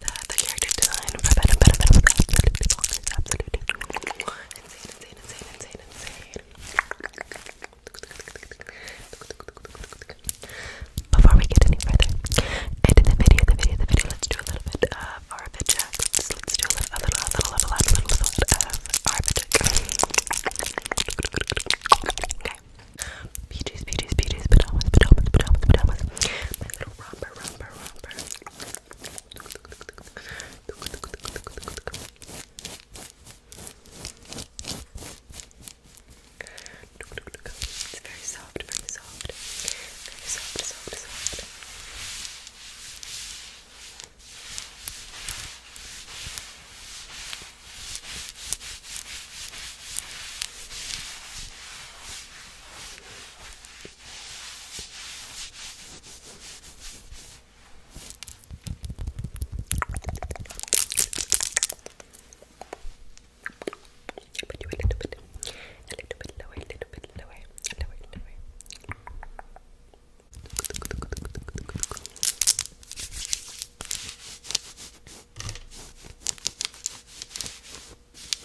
the, the character design for Venom, Before we get any further into the video, the video, the video, let's do a little bit of Arabic Let's, do a little, a little, a little, a little, a little, of Arabic Okay. It's very soft, very soft, very soft, soft, soft. But you a little bit, a little bit lower, a little bit lower, lower, lower. More button,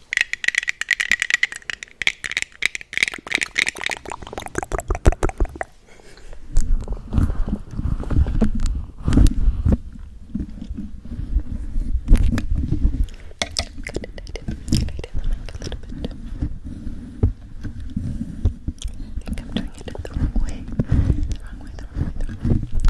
I think I'm doing it the wrong way. The wrong way, the wrong way, the wrong way.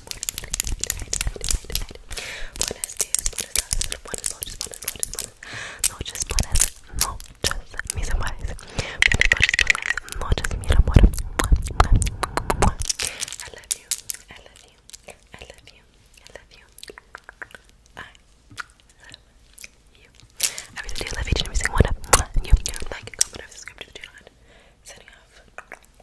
Buenos días, buenas tardes, buenas noches, buenas noches, buenas noches, buenas noches, mis amores. Buenas noches, buenas noches, mi amor. I love you, I love you, I love you, I love you. I love you. I really do love each and every single one of you. Like, comment, subscribe to the channel, and signing off.